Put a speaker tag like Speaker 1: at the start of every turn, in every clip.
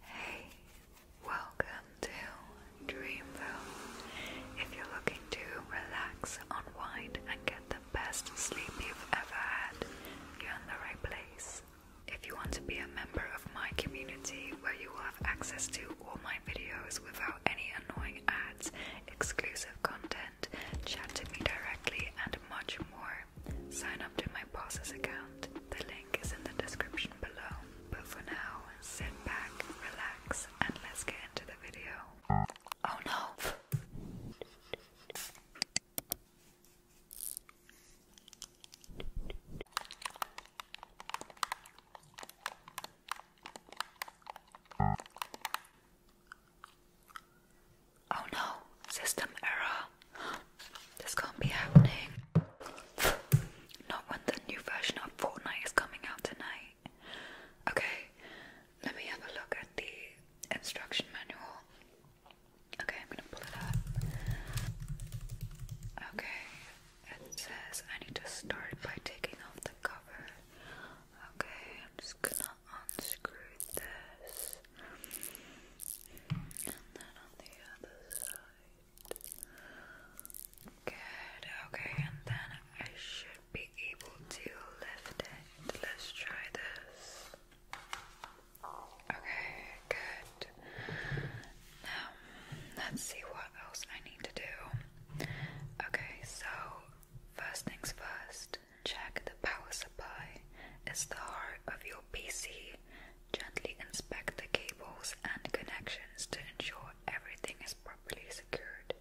Speaker 1: Hey, welcome to Dreamville. If you're looking to relax, unwind, and get the best sleep you've ever had, you're in the right place. If you want to be a member of my community where you will have access to all my videos without any annoying ads, exclusive content, chat to me directly, and much more, sign up to my boss's account. The link is in the description below. But for now, sit back, relax, and let's get into the video. Oh no! Oh no, system error. This can't be happening. Not when the new version of Fortnite is coming out tonight. Okay, let me have a look at the instruction manual. Okay, I'm gonna pull it up. Okay, it says I need to start by taking off the cover. Okay, I'm just gonna unscrew this. Good, okay, and then I should be able to lift it. Let's try this. Okay, good. Now, let's see what else I need to do. Okay, so first things first, check the power supply. It's the heart of your PC Gently inspect the cables and connections to ensure everything is properly secured.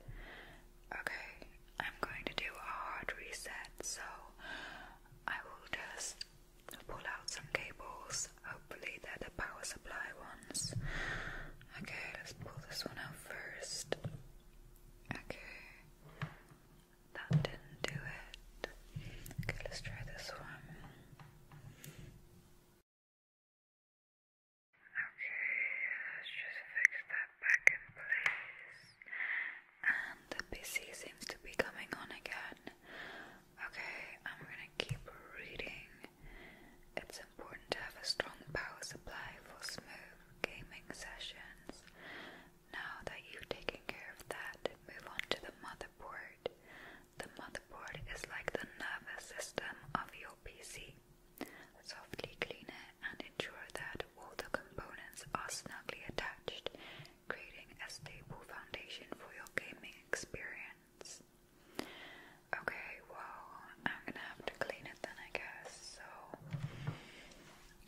Speaker 1: Okay, I'm going to do a hard reset, so I will just pull out some cables. Hopefully, they're the power supply ones. Okay, let's pull this one out first. Okay, that didn't do it. Okay, let's try this one. Okay, let's just fix that back in place. And the PC seems to be coming on again. Okay, I'm gonna keep reading. It's important to have a strong power supply for smooth gaming sessions. Now that you've taken care of that, move on to the motherboard. The motherboard is like the nervous system of your PC. Softly clean it and ensure that all the components are snugly attached, creating a stable foundation for your gaming experience. Okay, well, I'm gonna have to clean it then, I guess. So,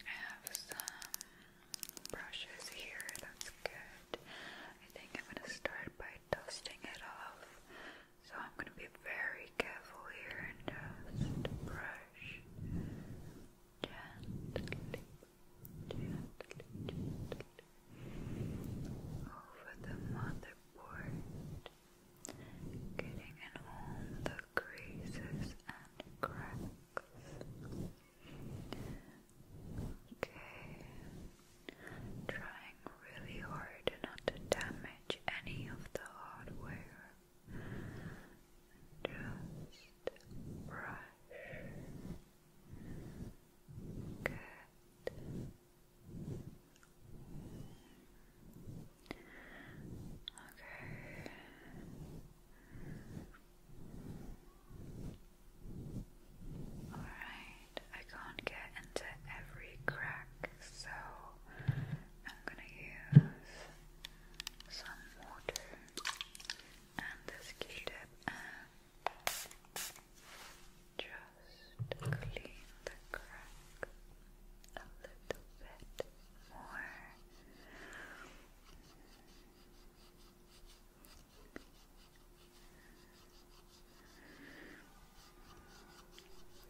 Speaker 1: I have some brushes here, that's good. I think I'm gonna start by dusting it off. So I'm gonna be very careful here and just brush gently, gently, gently over the motherboard, getting in all the creases and cracks. Okay. Trying really hard not to damage any of the hardware. Just brush. Good. Okay. Alright, I can't get into every crack, so I'm gonna use some water and this tip just clean the crack a little bit more.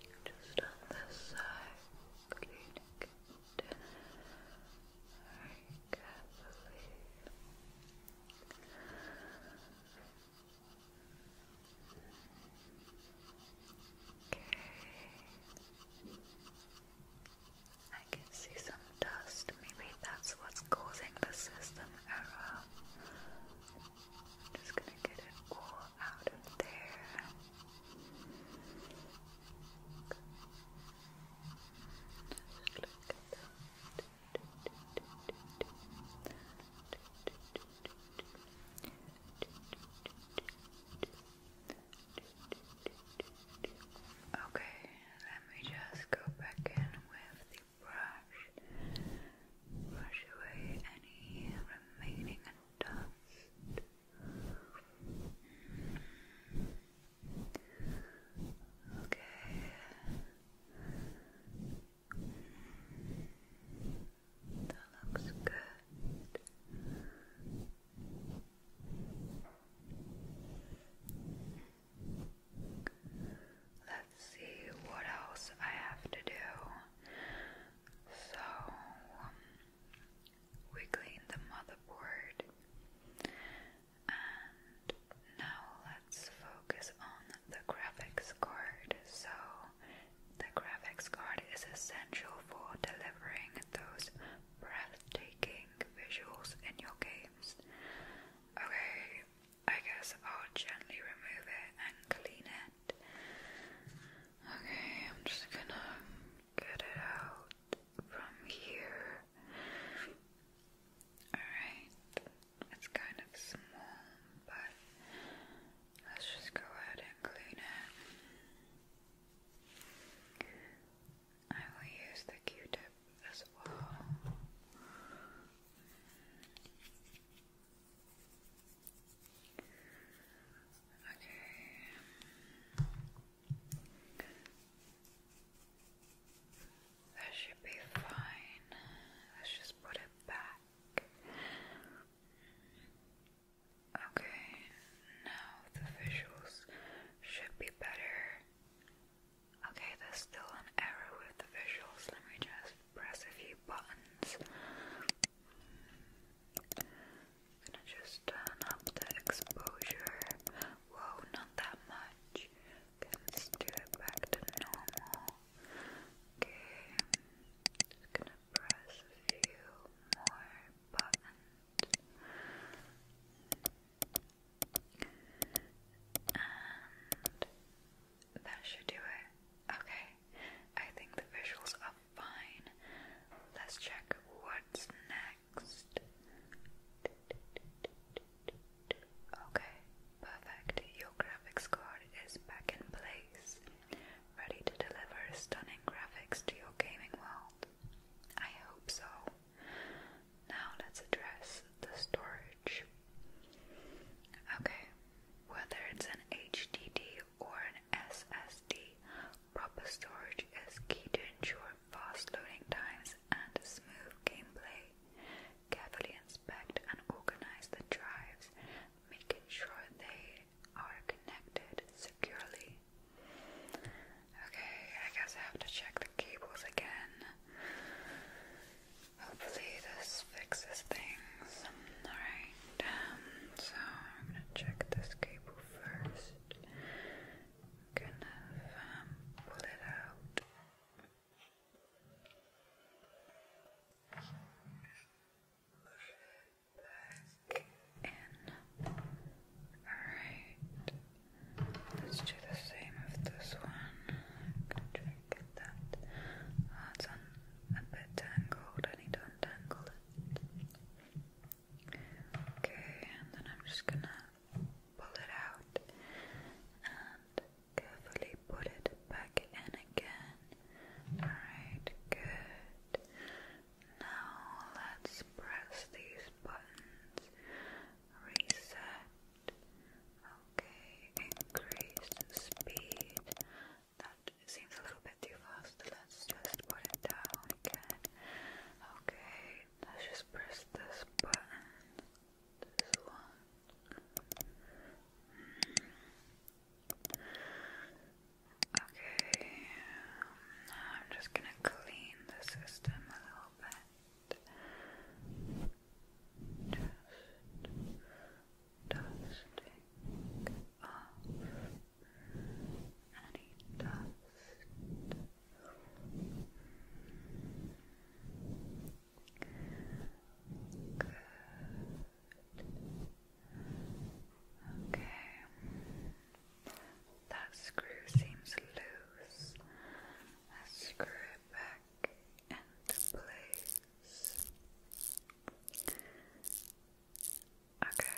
Speaker 1: Just on this side, cleaning it very carefully. Okay. I can see some dust. Maybe that's what's causing the system error. I'm just gonna get it all out of there. Just look at that. Just Okay, let me just go back in with the brush. Brush away any remaining dust. Okay. That looks good. Let's see what else I have to do. So, um, we cleaned the motherboard, and now let's focus on the graphics card. So, the graphics card is essential for delivering those breathtaking visuals in your games. Okay, I guess I'll gently remove it and clean it. Okay, I'm just gonna get it out from here. Alright, it's kind of small, but let's just go ahead and clean it. I will use the Q-tip as well. Okay. That should be fine. Let's just put it back. Okay, now the visuals should be better. Okay, there's still an error with the visuals. Let me just press a few buttons. gonna just turn up the exposure. Whoa, not that much. let's do it back to normal. Okay, just gonna press a few more and that should do it. Okay, I think the visuals are fine. Let's check what's next. Okay, perfect. Your graphics card is back in place ready to deliver stunning graphics to your gaming world. I hope so. Now let's address the storage. Okay, whether it's an HDD or an SSD, proper storage is key to ensure fast loading times and smooth gameplay. Carefully inspect and organize the drives, making sure they are connected securely. Okay, I guess I have to check the cables again. Hopefully, this fixes things. Alright, um, so I'm gonna check this cable first. I'm gonna um, pull it out back in. Alright. Let's do the same with this one. Can and that. Oh, it's a bit tangled. I need to untangle it. Okay, and then I'm just gonna pull it out and carefully put it back in again. Alright, good. Now let's press these buttons. Reset. Okay, increase speed. That seems a little bit too fast. Let's just put it down again. Okay, let's just press this button. This one. Okay, now I'm just gonna clean the system a little bit. Just dusting off any dust. Good. Okay. That screw seems loose. Let's screw it back into place. Okay,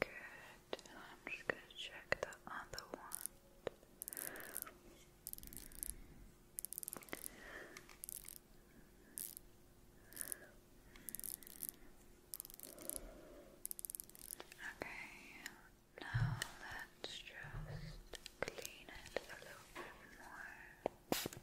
Speaker 1: good. I'm just gonna check the other one. Okay, now let's just clean it a little bit more.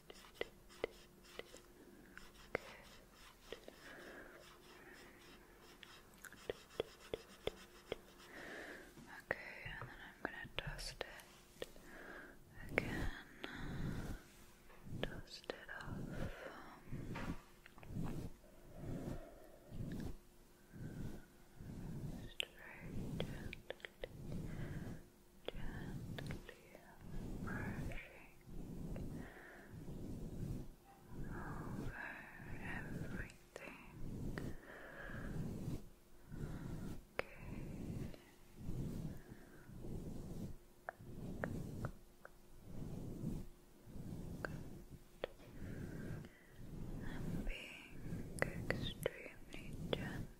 Speaker 1: Okay, and then I'm gonna dust it again. Dust it off. Um, Gently brushing over everything. Okay. Good. I'm being extremely gentle.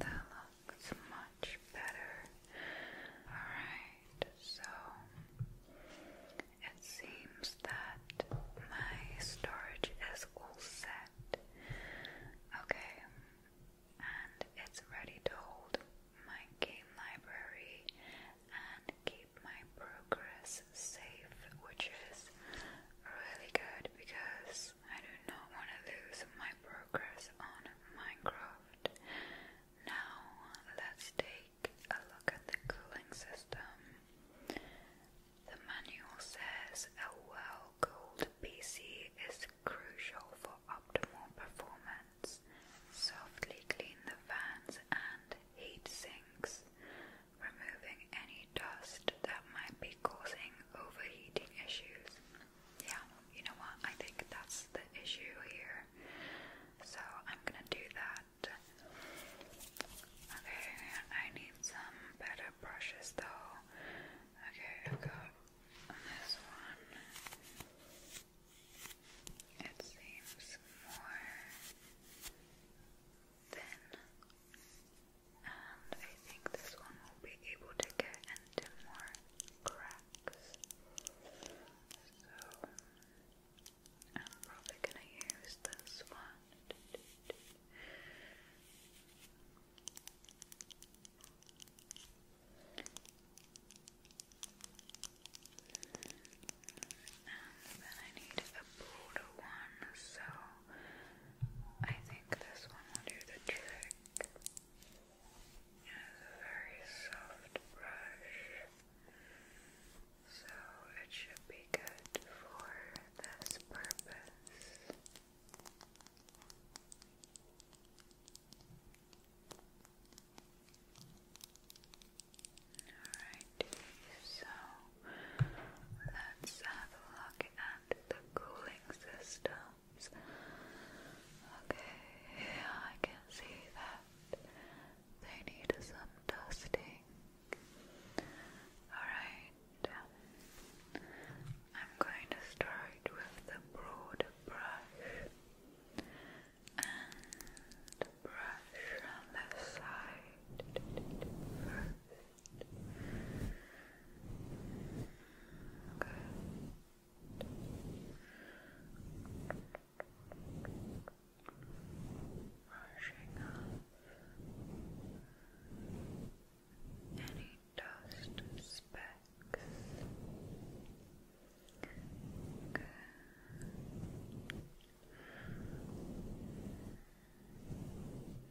Speaker 1: That looks much better. Alright, so it seems that my storage is all set. Okay, and it's ready to hold my game library and keep my progress safe, which is really good because I do not want to lose my progress on Minecraft. Now, let's take a look at the cooling system. The manual says a well cooled PC is crucial for optimal performance. Softly clean the fans and heat sinks, removing any dust that might be causing overheating issues. Yeah, you know what? I think that's the issue here. So I'm gonna do that. Okay, I need some better brushes though. Okay, i got this one. It seems more thin, and um, I think this one will be able to get into more cracks. So I'm probably gonna use this one. And then I need a broader one, so I think this one will do the trick. It has a very soft brush, so it should be good for this purpose. Alright, so let's have a look at the cooling systems. Okay, I can see that they need some dusting. Alright, I'm going to start with the broad brush. And brush on the side Brushing off any dust specks. Alright.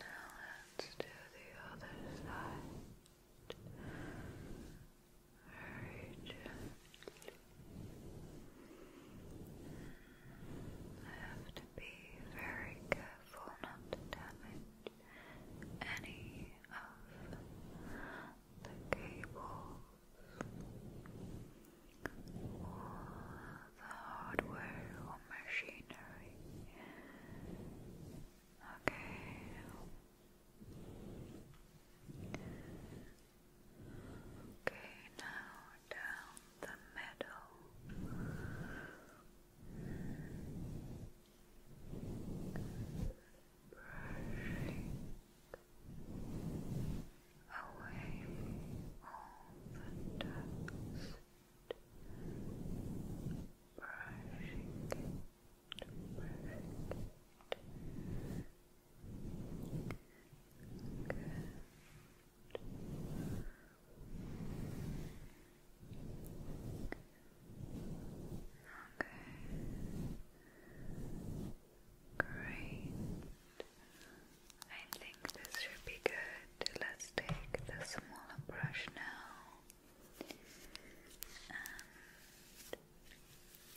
Speaker 1: Now let's do the other side. I have to be very careful not to damage any of the cables all the hardware or machinery. Okay. Okay, now down the middle. Brushing away all the dust, brushing it, brushing Okay. Great. I think this should be good. Let's take the smaller brush now.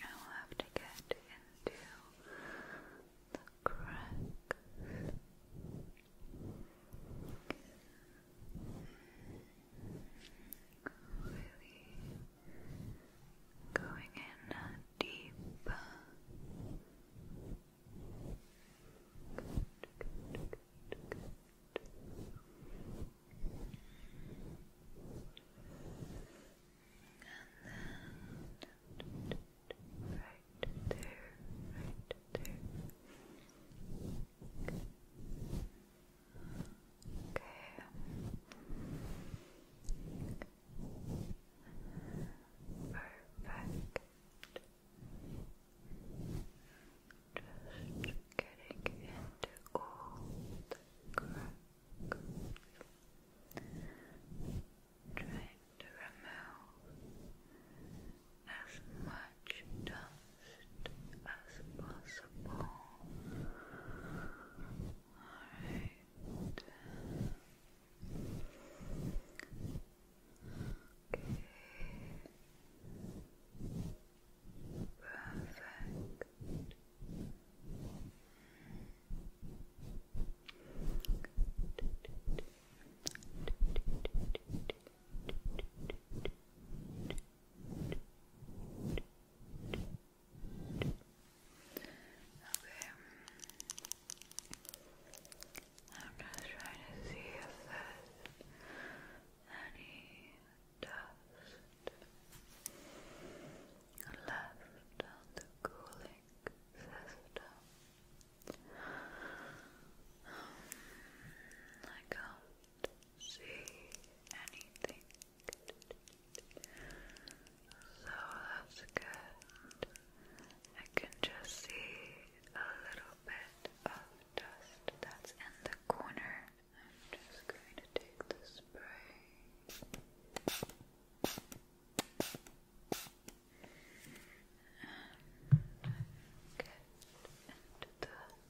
Speaker 1: And I'll have to get into the cracks. Really going in deep. And then right there, right there. Okay. Perfect. Just getting into all the cracks. Trying to remove as much dust as possible. Alright. Perfect. Okay. I'm just trying to see if there's any dust left on the cooling system. Um, I can't see anything so that's good. I can just see a little bit of dust that's in the corner. I'm just going to take the spray. get into the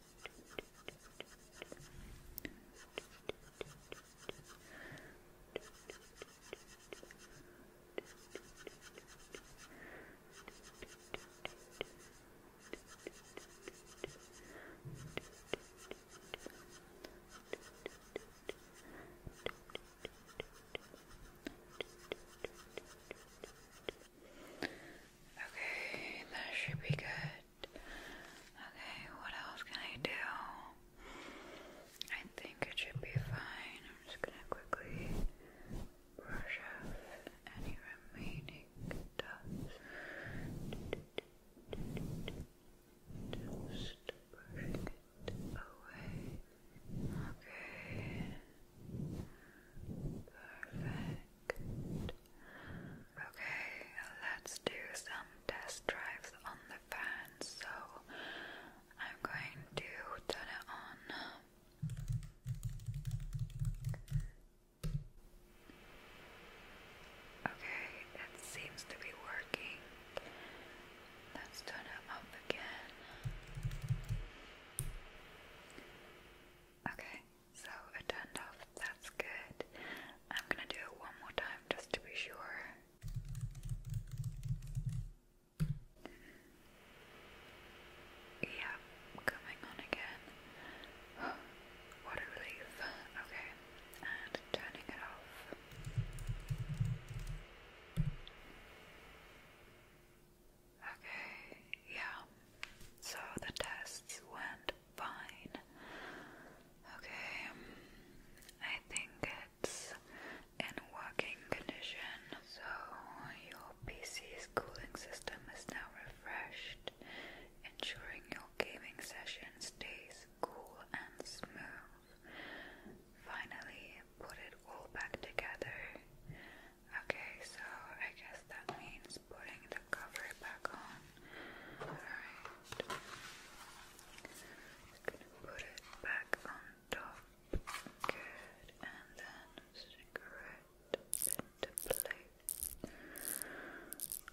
Speaker 1: Okay, that should be good. Okay, what else can I do? I think it should be fine. I'm just gonna quickly brush off any remaining dust. Just brushing it away. Okay. Perfect. Okay, let's do some test drives on the fan. So I'm going to turn it on. Okay, it seems to be working. Let's turn it up again. Okay, so it turned off, that's good. I'm gonna do it one more time just to be sure. Yeah, coming on again. what a relief. Okay, and turning it off. Okay, yeah. So the tests went fine. Okay, I think it's in working condition, so your PC's cooling system is now refreshed, ensuring your gaming session stays cool and smooth. Finally, put it all back together. Okay, so I guess that means putting the cover it back on. Alright. Just gonna put it back on top. Good. And then stick right into place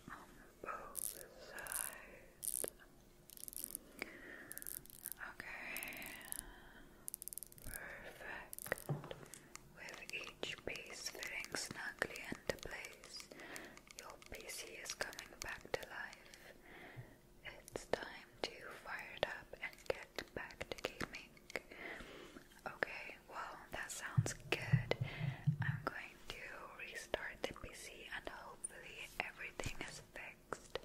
Speaker 1: on both sides. Okay. Perfect with each piece fitting snugly into place, your PC is coming back to life. It's time to fire it up and get back to gaming. Okay, well, that sounds good. I'm going to restart the PC and hopefully everything is fixed.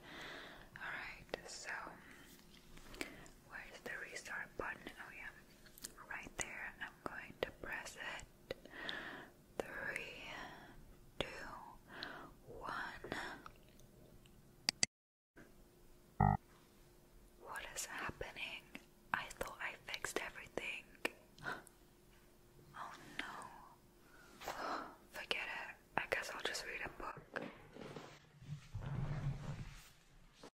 Speaker 1: Alright, so where is the restart button? Oh, yeah, right there. I'm going to press it. Three, two, one. What is happening? I thought I fixed everything. Oh no. Forget it. I guess I'll just read a book.